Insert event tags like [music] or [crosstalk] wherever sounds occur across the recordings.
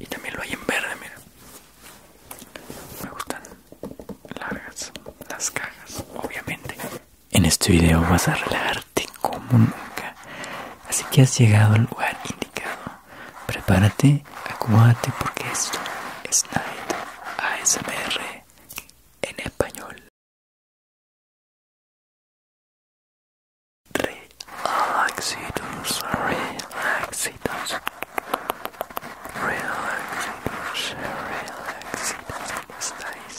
Y también lo hay en verde, mira. Me gustan largas las cajas, obviamente. En este video vas a relajarte como nunca. Así que has llegado al lugar indicado. Prepárate, acomódate porque esto es Night ASMR en español. Relaxitos, relaxitos, relaxitos, relaxitos, ¿cómo estáis?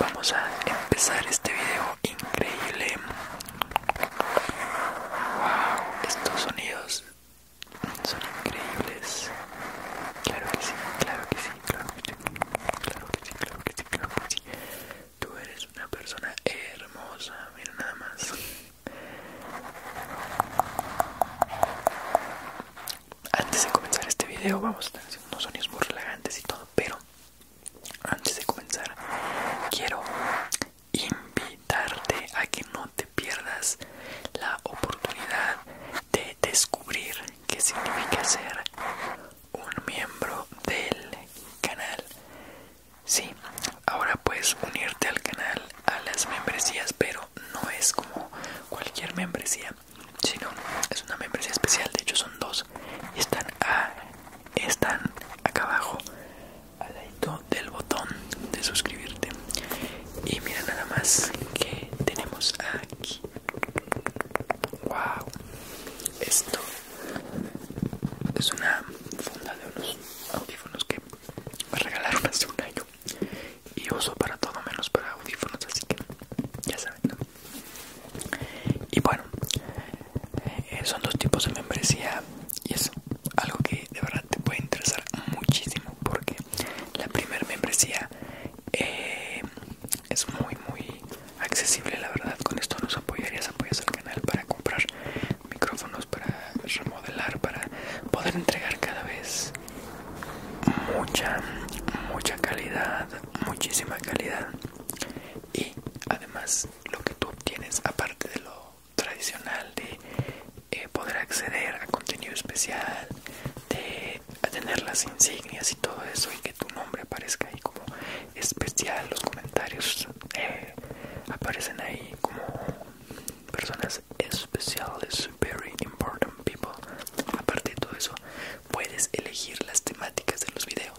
Vamos a empezar este video increíble. Wow, estos sonidos son increíbles. claro que sí, claro que sí, claro que sí, claro que sí, claro que sí. Tú eres una persona hermosa, mira nada más. Antes de comenzar este video vamos a estar haciendo unos sonidos muy relajantes y todo, pero antes de comenzar quiero invitarte a que no te pierdas la oportunidad de descubrir qué significa ser un miembro del canal Sí, ahora puedes unirte al canal a las membresías, pero no es como cualquier membresía, sino es una membresía especial. De hecho, son dos están, están acá abajo al lado del botón de suscribirte. Y mira nada más que tenemos aquí. Wow, esto es una funda de unos audífonos que me regalaron hace un año y uso para todo menos para audífonos, así que ya saben. Y bueno, eh, son dos tipos de membresía y es algo que de verdad te puede interesar muchísimo porque la primera membresía eh, es muy muy accesible la verdad con esto nos apoyarías apoyas al canal para comprar micrófonos para remodelar para poder entregar cada vez mucha mucha calidad muchísima calidad y además lo que tú obtienes aparte de lo tradicional de eh, poder acceder a contenido especial de tener las insignias y todo eso tu nombre aparezca ahí como especial, los comentarios eh, aparecen ahí como personas especiales, very important people. Aparte de todo eso, puedes elegir las temáticas de los videos.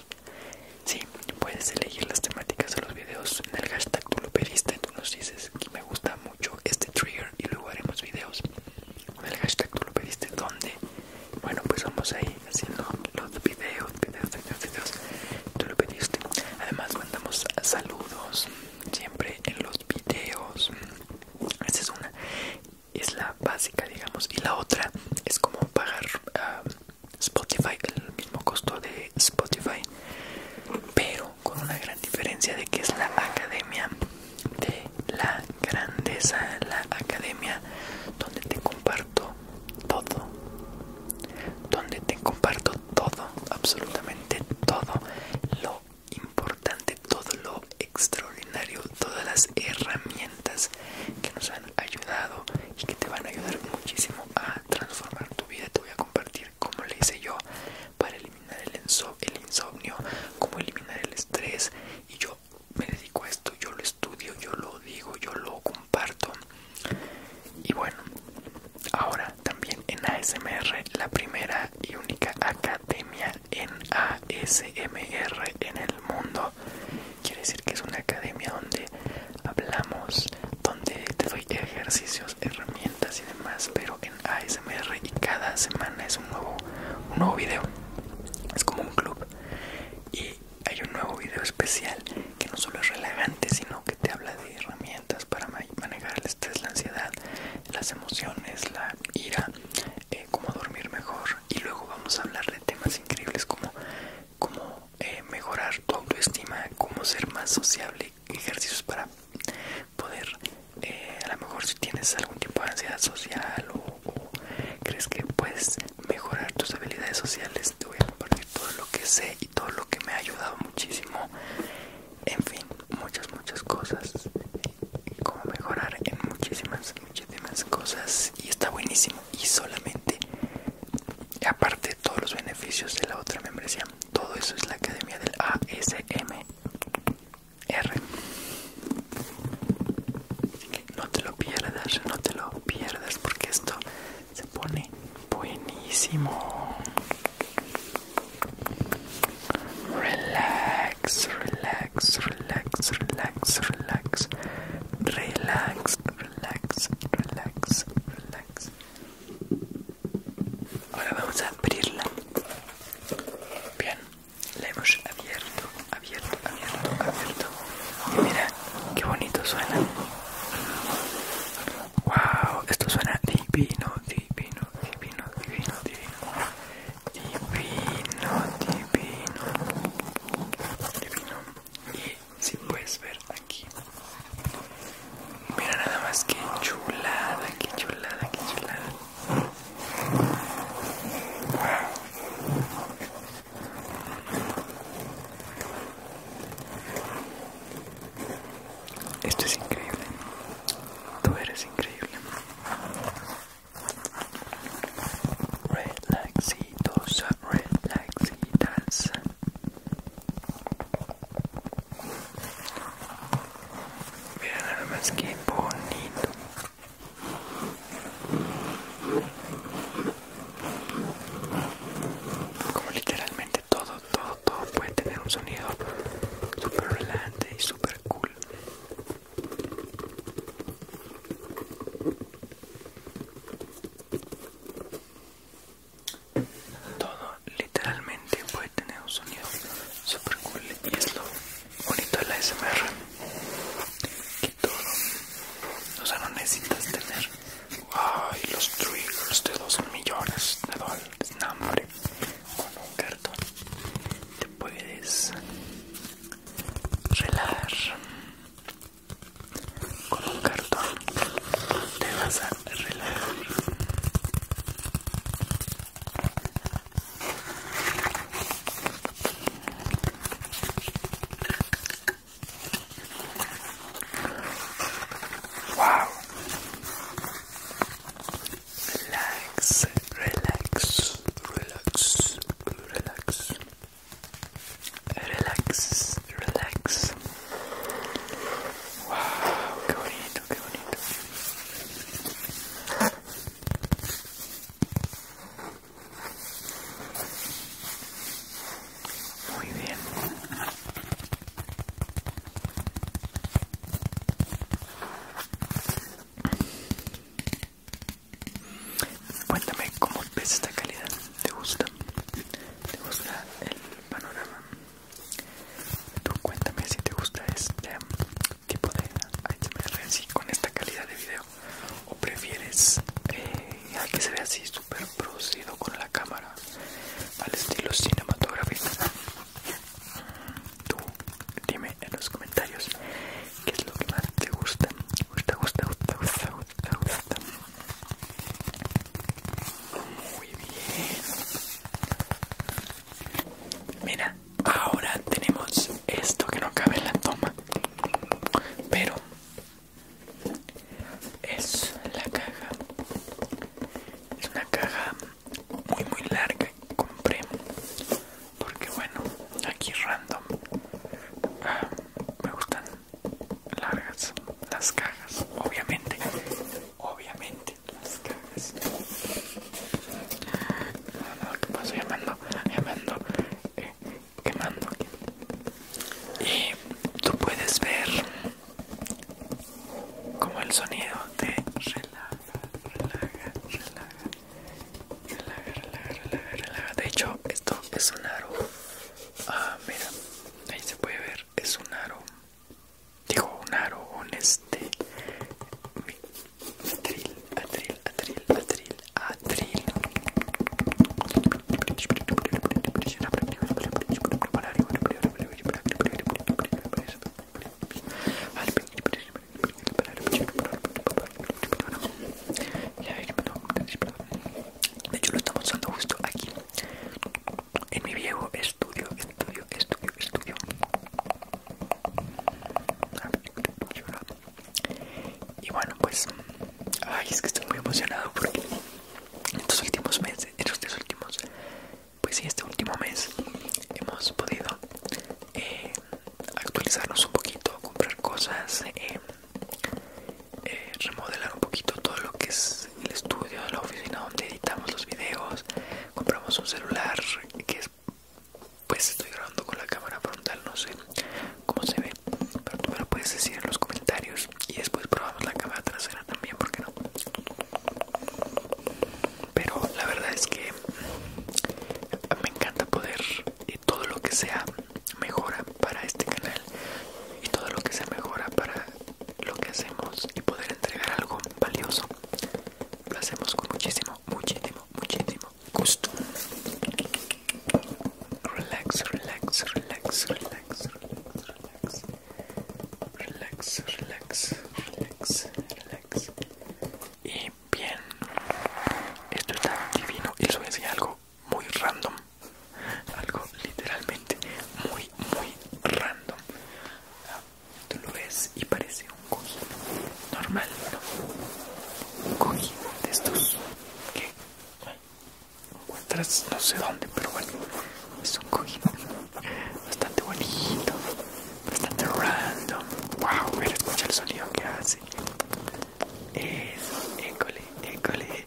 Sí, puedes elegir las temáticas de los videos en el hashtag tú lo pediste, tú nos dices que me gusta mucho este trigger y luego haremos videos En el hashtag tú lo pediste donde bueno pues vamos ahí haciendo los videos, videos, videos, videos. Tú lo pediste. Además, mandamos saludos siempre en los videos. Esa es una, es la básica, digamos. Y la otra es como pagar ah, Spotify, el mismo costo de Spotify, pero con una gran diferencia de que es la academia de la grandeza, la academia donde te comparto todo, donde te comparto todo, absolutamente todo lo importante, todo lo extraordinario, todas las herramientas que nos han ayudado y que te van a ayudar muchísimo a transformar tu vida. Te voy a compartir como le hice yo para eliminar el, el insomnio, como eliminar el estrés y yo me dedico a esto, yo lo estudio, yo lo digo, yo lo comparto. Y bueno, ahora también en ASMR, la primera y única academia en ASMR en el mundo. Quiere decir que es una academia donde hablamos, donde te doy ejercicios, herramientas y demás, pero en ASMR y cada semana es un nuevo, un nuevo video. Es como un club. Y hay un nuevo video especial que no solo es relajante, sino que te habla de herramientas para manejar el estrés, la ansiedad, las emociones, la ira, eh, cómo dormir mejor. Y luego vamos a hablar de temas increíbles como cómo eh, mejorar tu autoestima, cómo ser más sociable, ejercicios para poder, eh, a lo mejor si tienes algún tipo de ansiedad social o crees que puedes mejorar tus habilidades sociales. Te voy a compartir todo lo que sé y todo lo que me ha ayudado muchísimo. En fin, muchas, muchas cosas. Cómo mejorar en muchísimas, muchísimas cosas. Y está buenísimo. Y solamente, aparte, todos los beneficios de la otra membresía. Todo eso es la academia del ASMR. No te lo pierdas, no te lo pierdas porque esto se pone buenísimo. Relax, relax, relax, relax, relax. Relax, relax, relax, relax. Ahora vamos a abrirla. Bien, la hemos abierto abierto, abierto, abierto, Y mira, qué bonito suena. Wow, esto suena divino, divino, divino, divino, divino. Divino, divino. Divino. Y si puedes ver aquí. Mira nada más que chulada, que chulada, que chulada. Esto es Relaxitos, relaxitas. Mira nada más que bonito. Como literalmente todo, todo, todo puede tener un sonido super relajante y super cool. Todo literalmente puede tener un sonido super cool y slow bonito el ASMR que todo o sea no necesitas tener ay los triggers de 12 millones de dólares no, con un cartón te puedes relajar con un cartón te vas a relajar Wow. Relax, relax, relax, relax. Relax, relax. Wow, qué bonito, qué bonito. Muy bien. Cuéntame cómo ves esta calidad. ¿Te gusta? ¿Te gusta el panorama? Tú cuéntame si te gusta este tipo de HMR así con esta calidad de video o prefieres eh, a que se vea así súper producido con la cámara al estilo cinematográfico tú dime en los comentarios qué es lo que más te gusta gusta gusta. muy bien mira Ahora tenemos esto que no cabe en la toma, pero es la caja. Es una caja muy muy larga que compré porque bueno, aquí random ah, me gustan largas las cajas, obviamente, obviamente las cajas. No, no, que paso llamando, llamando, eh, quemando Y tú puedes ver como el sonido de relaja, relaja, relaja, relaja, relaja, relaja, relaja. De hecho, esto es un aro. Ah, mira, ahí se puede ver, es un aro. Digo, un aro, un este Adril, adril, adril, adril, atril. De hecho lo estamos usando justo aquí en mi viejo estudio, estudio, estudio, estudio. Y bueno, pues, ay, es que estoy muy emocionado porque en estos últimos meses, en estos últimos, pues sí, este último mes hemos podido eh, actualizarnos un poquito, comprar cosas, eh, eh, remodelar un poquito todo lo que es el estudio, la oficina donde editamos los videos, compramos un celular que es pues, pues estoy grabando con la cámara frontal no sé cómo se ve pero tú me lo puedes decir en los comentarios y después probamos la cámara trasera también porque no pero la verdad es que me encanta poder y todo lo que sea mejora para este canal y todo lo que sea mejora para lo que hacemos y poder entregar algo valioso lo hacemos con muchísimo muchísimo muchísimo gusto. Relax, relax, relax, relax, relax, relax, relax, relax, relax. Y bien, esto está divino y les voy a decir algo muy random. Algo literalmente muy, muy random. Tú lo ves y parece un cojín normal, ¿no? Un cojín de estos que no sé dónde, pero bueno, es un cojín bastante bonito, bastante random. Wow, escucha el sonido que hace. Eso, école, école.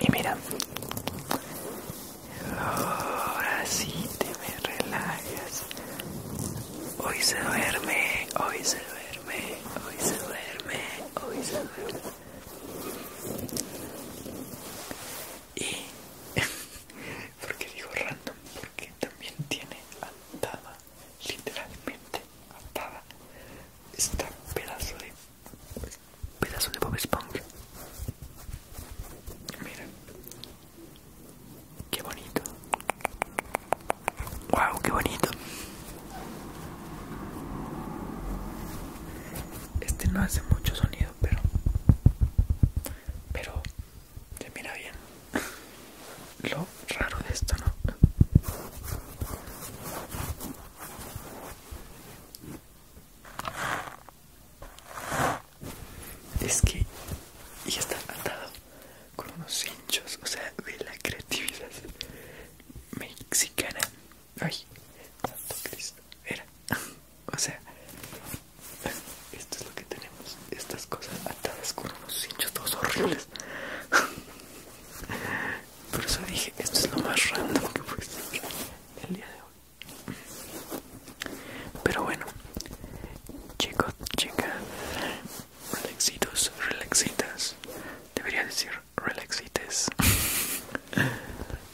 Y mira, ahora sí te me relajas. Hoy se duerme, hoy se duerme, hoy se duerme, hoy se duerme. Y [laughs] porque digo random, porque también tiene atada, literalmente atada, esta pedazo de pedazo de Bob Esponja. Mira, qué bonito. Wow, qué bonito. Este no hace mucho sonido, pero, pero se mira bien. [laughs] Lo raro de esto, ¿no? Es que y está atado con unos hinchos, o sea, de la creatividad mexicana. Ay, santo Cristo, era. O sea, esto es lo que tenemos, estas cosas atadas con unos hinchos todos horribles. Por eso dije, esto es lo más random que puede el día de hoy. Pero bueno, chicos, chicas, relaxitos, relaxitas, debería decir relaxites.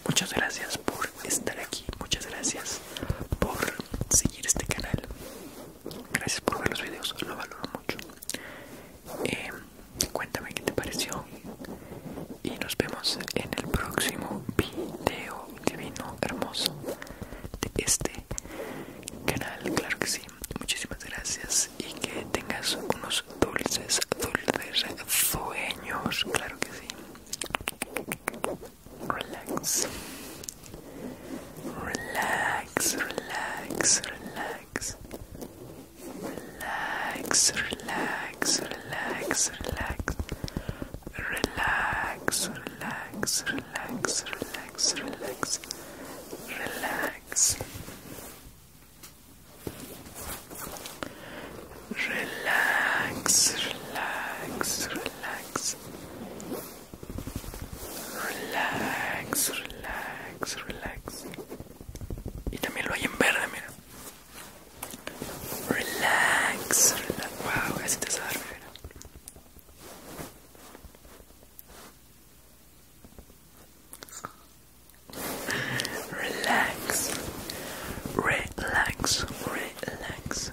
Muchas gracias por estar aquí, muchas gracias por seguir este canal. Gracias por ver los videos, lo valoro mucho. Em, Cuéntame qué te pareció y nos vemos en el próximo video divino hermoso de este canal, claro que sí. Muchísimas gracias y que tengas unos dulces, dulces sueños, claro que sí. Relax, relax, relax, relax relax, relax, relax, relax, relax, relax, relax, relax, relax, relax, relax. Relax, Y también lo hay en verde, mira. Relax. Relax. Wow, es desarme. Relax. Relax. Relax. Relax